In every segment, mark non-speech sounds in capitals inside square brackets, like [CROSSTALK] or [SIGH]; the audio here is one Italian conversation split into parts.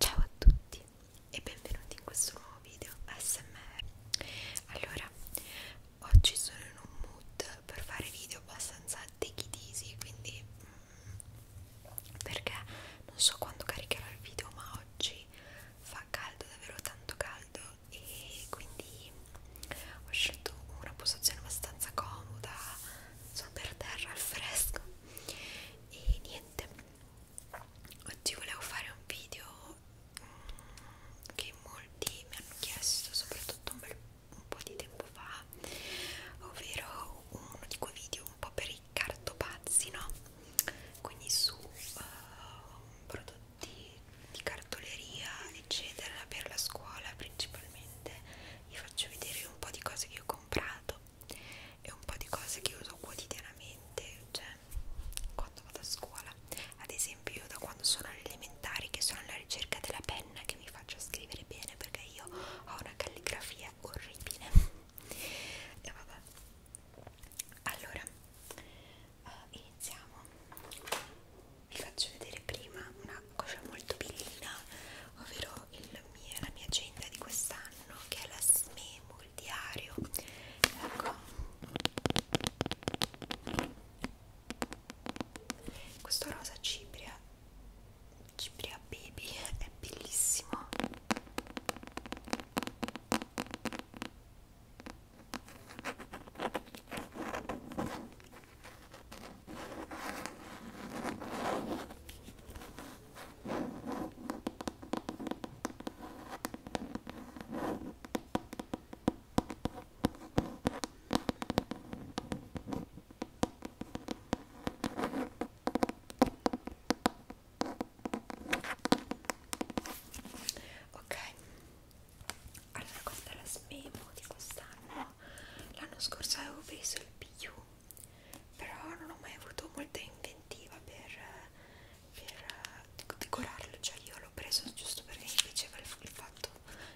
Ciao a tutti e benvenuti in questo nuovo video ASMR Allora, oggi sono in un mood per fare video abbastanza take it easy Quindi, mm, perché non so quando caricherò il video ma oggi fa caldo, davvero tanto caldo E quindi ho scelto una posizione abbastanza comoda, sono per terra al fresco e niente oggi volevo fare un video mm, che molti mi hanno chiesto soprattutto un, bel, un po' di tempo fa ovvero uno di quei video un po' per i cartopazzi no? quindi su uh, prodotti di cartoleria eccetera per la scuola principalmente vi faccio vedere un po' di cose che ho comprato e un po' di cose che uso quotidianamente, cioè quando vado a scuola. Ad esempio, io da quando sono alle elementari, che sono alla ricerca della penna che mi faccia scrivere bene perché io ho una calligrafia orribile. e vabbè. Allora, eh, iniziamo. Vi faccio vedere prima una cosa molto bellina ovvero il mia, la mia agenda di quest'anno che è la SMEMO, il diario ecco questo rosa cipria cipria baby è bellissimo Ok, allora questa è la smemo di quest'anno. L'anno scorso avevo preso il più però non ho mai avuto molta inventiva per, per eh, decorarlo, cioè io l'ho preso giusto perché mi piaceva il, il fatto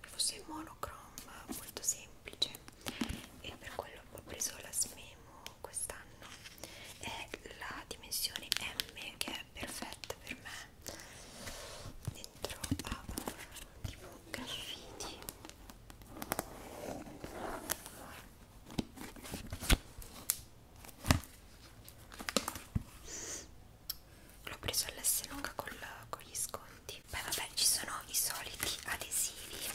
che fosse monochrome, molto semplice e per quello ho preso la Smemo quest'anno è la dimensione M che è perfetta per me dentro ha tipo graffiti L'ho preso all'S lunga con, la, con gli sconti. Beh vabbè, ci sono i soliti adesivi.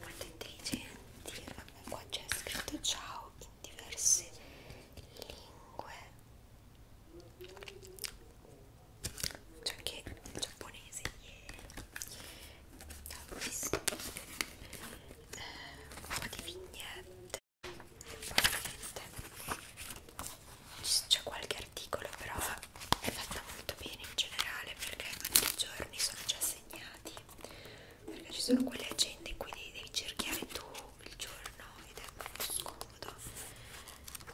Molto intelligenti. Vabbè, qua c'è scritto ciao in diverse lingue c'è cioè anche il giapponese yeah. ho visto eh, un po' di vignette c'è qualche articolo però è fatta molto bene in generale perché i giorni sono già segnati perché ci sono quelle agende in cui devi cerchiare tu il giorno ed è molto scomodo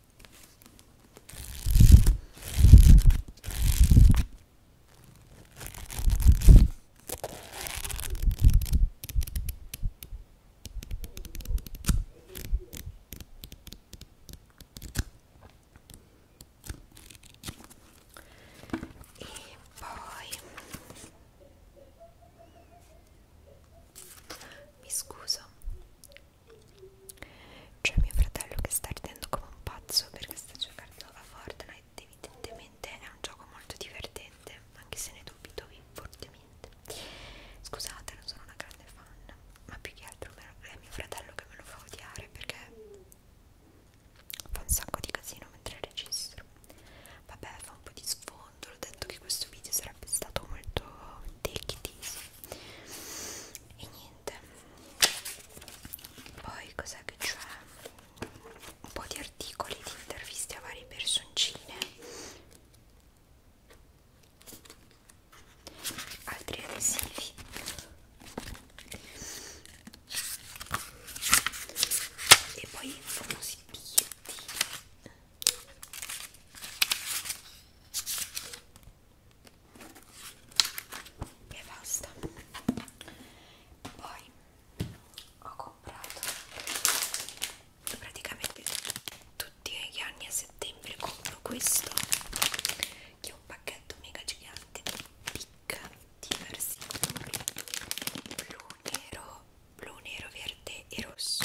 E poi mi scuso c'è mio fratello che sta ridendo come un pazzo perché sta giocando a Fortnite. Evidentemente è un gioco molto divertente, anche se ne dubito fortemente. Scusate, non sono una grande fan, ma più che altro è mio fratello che me lo fa odiare perché fa un sacco di casino mentre registro. Vabbè, fa un po' di sfondo. L'ho detto che questo video sarà sarebbe stato molto take it easy e niente poi cos'è che c'è un po' di articoli di interviste a varie personcine altri adesivi e poi famosi biglietti e basta poi ho comprato praticamente tutti gli anni a settembre compro questo che è un pacchetto mega gigante di picca diversi colori blu, nero, blu, nero, verde e rosso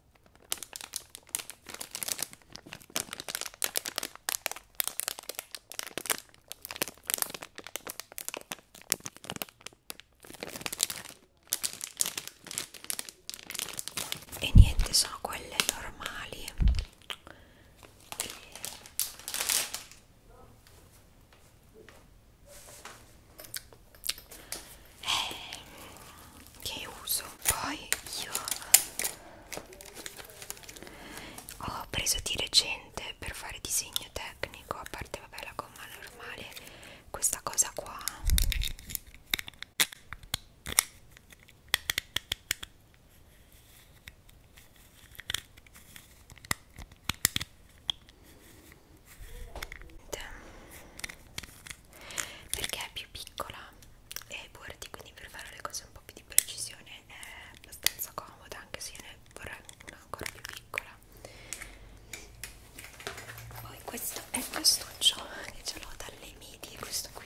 e niente sono quelle normali e eh, che uso poi io ho preso di recente per fare disegno tecnico a parte vabbè la gomma normale questa cosa qua perché è più piccola e bordi quindi per fare le cose un po' più di precisione è abbastanza comoda anche se ne vorrei una ancora più piccola poi questo è il castuccio che ce l'ho dalle medie questo qui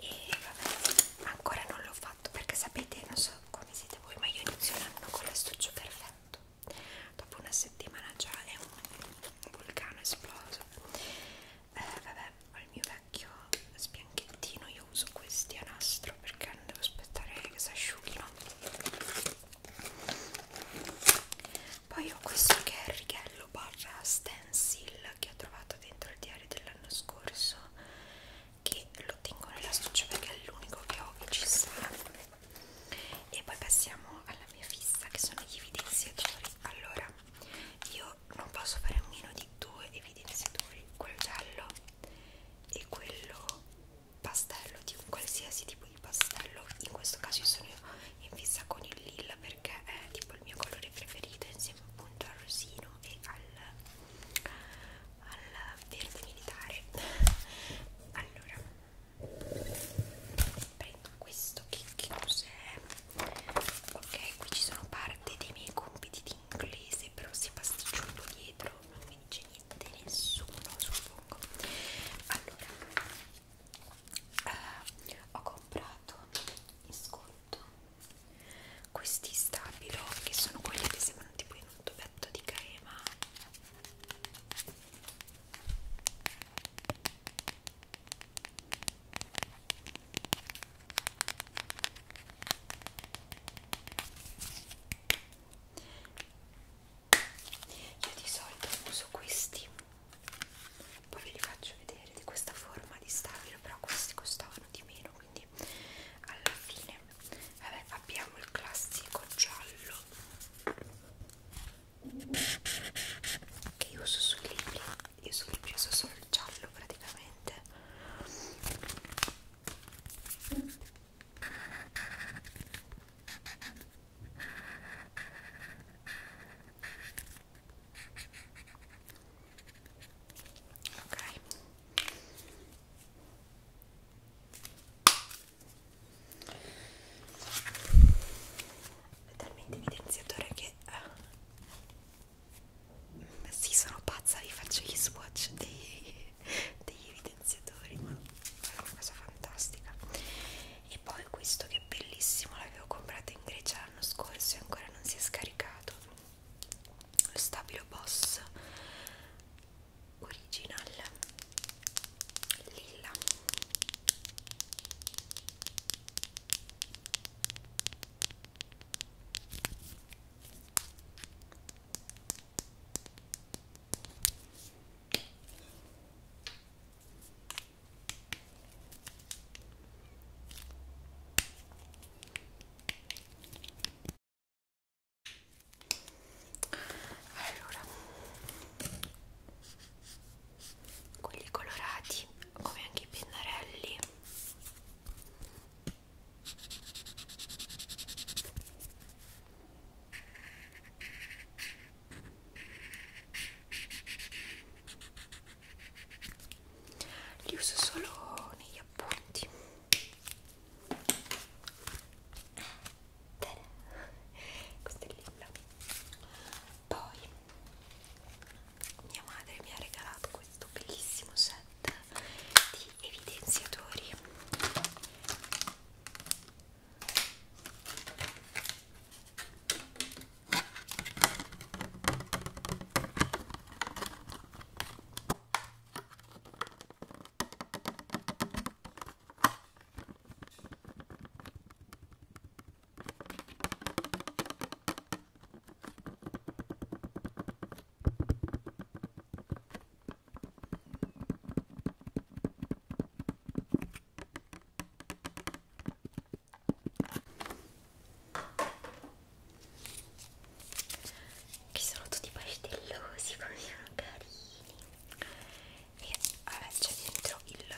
E vabbè, ancora non l'ho fatto perché sapete, non so come siete voi, ma io inizio l'anno con l'astuccio perfetto. Dopo una settimana già è un vulcano esploso. Eh, vabbè, ho il mio vecchio sbianchettino io uso questi a nastro perché non devo aspettare che si asciughino poi ho questo che è il righello barra stencil che ho trovato dentro il diario dell'anno scorso che lo tengo nella stuccia perché è l'unico che ho che ci sarà e poi passiamo alla mia fissa che sono gli evidenziatori allora io non posso fare a meno di due evidenziatori quello giallo e quello pastello di un qualsiasi tipo di pastello in questo caso io sono in fissa con il lilla perché è tipo il mio colore preferito insieme appunto al rosino e al, al verde militare [LAUGHS] allora prendo questo che, che cos'è ok qui ci sono parte dei miei compiti di inglese però si pasticcia un po' dietro non mi dice niente nessuno suppongo allora eh, ho comprato in sconto questi stabilo che sono quelli che sembrano tipo in un tubetto di crema io di solito uso questi, poi ve li faccio vedere di questa forma di stabilo, però questi costavano di meno, quindi alla fine vabbè, abbiamo il classico giallo che io uso sui libri io sono preso solo il giallo praticamente ok è talmente evidenziatore che eh, sì, sono pazza, vi faccio gli swatch dei, degli evidenziatori, ma è una cosa fantastica. E poi questo che è bellissimo, l'avevo comprato in Grecia l'anno scorso e ancora non si è scaricato. Lo stabilo boss original lilla. Allora, quelli colorati come anche i pennarelli li uso solo negli appunti. Bene, [LAUGHS] questo è il libro. Poi mia madre mi ha regalato questo bellissimo set di evidenziatori che sono tutti pastellosi, come sono carini. E vabbè, c'è dentro il lilla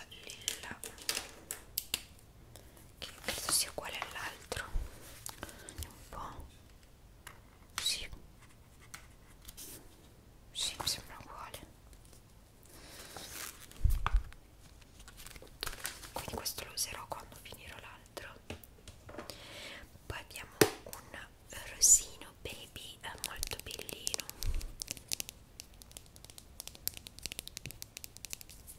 che credo sia uguale all'altro vediamo un po' sì sì mi sembra uguale quindi questo lo userò quando finirò l'altro poi abbiamo un rosino baby è eh, molto bellino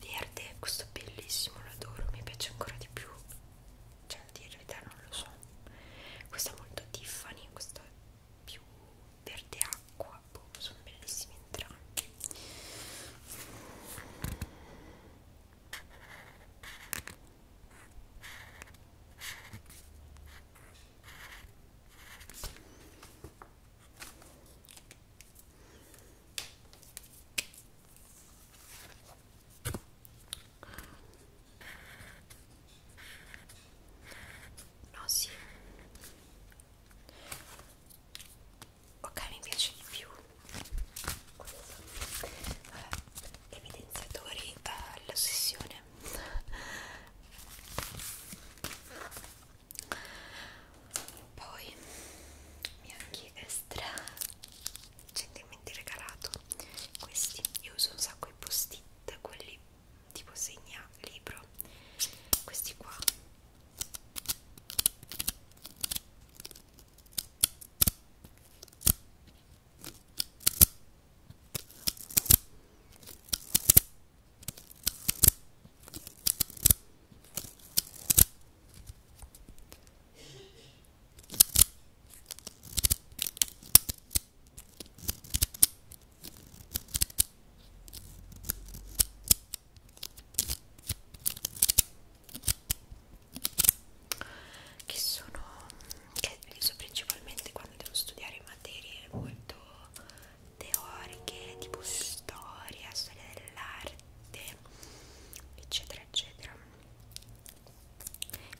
verde questo bellissimo lo adoro mi piace ancora di più cioè di verità non lo so questo è molto Tiffany questo è più verde acqua boh, sono bellissimi entrambi No, sì. Ok, mi piace di più questo. Vabbè, evidenziatori eh, all'ossessione poi bianchi extra gentilmente regalato questi io uso un sacco i post-it quelli tipo segna libro questi qua che sono che uso principalmente quando devo studiare materie molto teoriche tipo storia, storia dell'arte, eccetera, eccetera.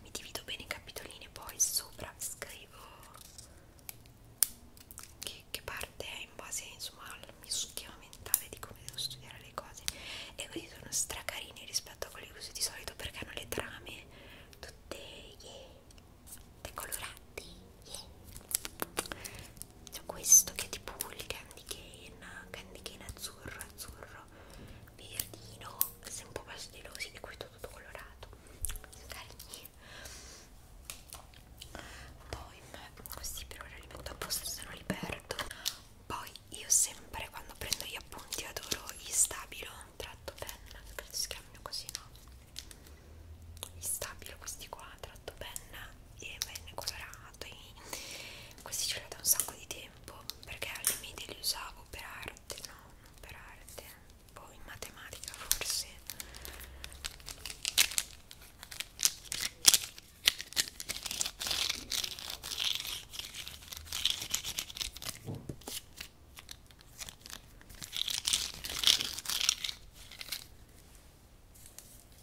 Mi divido bene i capitolini e poi sopra scrivo che, che parte è in base insomma al mio schema mentale di come devo studiare le cose e quindi sono stracarini rispetto a quelli che uso di solito perché hanno le trame tutte, yeah, tutte colorate yeah c'è questo che è tipo il candy cane candy cane azzurro azzurro verdino sei un po' pastellosi e questo tutto colorato carini poi così per ora li metto apposta se non li perdo poi io sempre quando prendo gli appunti adoro gli stabilo tratto penna credo si chiamino così no gli stabilo questi qua tratto penna e venne colorato e questi ce l'ho da un sacco di tempo perché alle medie li usavo per arte no, non per arte poi in matematica forse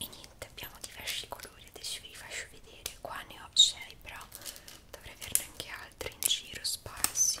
e niente abbiamo diversi colori adesso vi faccio vedere qua ne ho 6 però dovrei averne anche altri in giro sparsi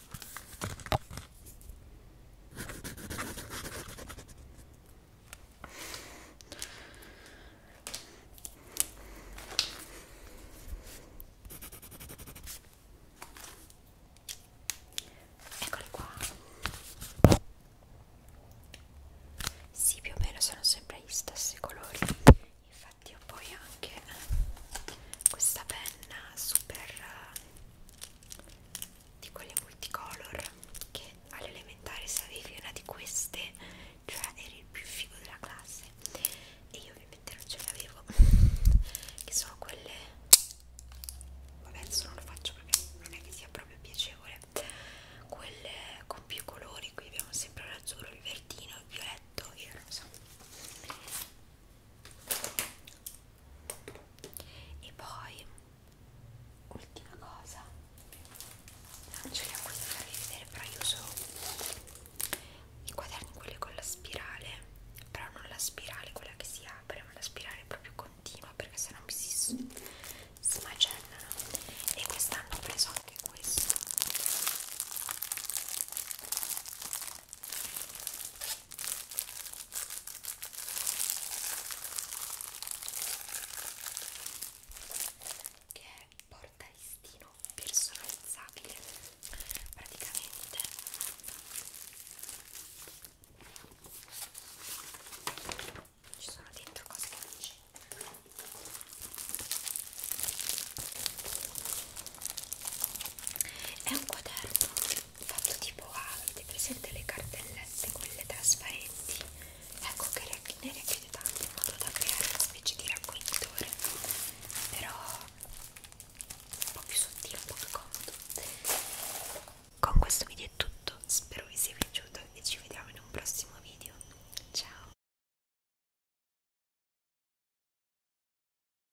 Eccole qua. Sì, più o meno sono sempre gli stessi colori. Infatti ho poi anche questa penna super di quelle multicolor che all'elementare se avevi una di queste cioè eri il più figo della classe e io ovviamente non ce l'avevo [LAUGHS] che sono quelle vabbè adesso non lo faccio proprio non è che sia proprio piacevole quelle con più colori qui abbiamo sempre l'azzurro, il verdino, il violetto e il rosa e poi ultima cosa non ce li ho qui da farvi vedere però io uso i quaderni quelli con la spirale però non la spirale quella che si apre ma la spirale proprio continua perché sennò mi si smacellano e quest'anno ho preso anche questo che è portalistino personalizzabile praticamente ci sono dentro cose che non c'è è un quaderno fatto tipo A, avete presente le cartellette, quelle trasparenti? Ecco che ne richiede tanto in modo da creare una specie di raccoglitore, però un po' più sottile, un po' più comodo. Con questo video è tutto, spero vi sia piaciuto e ci vediamo in un prossimo video. Ciao!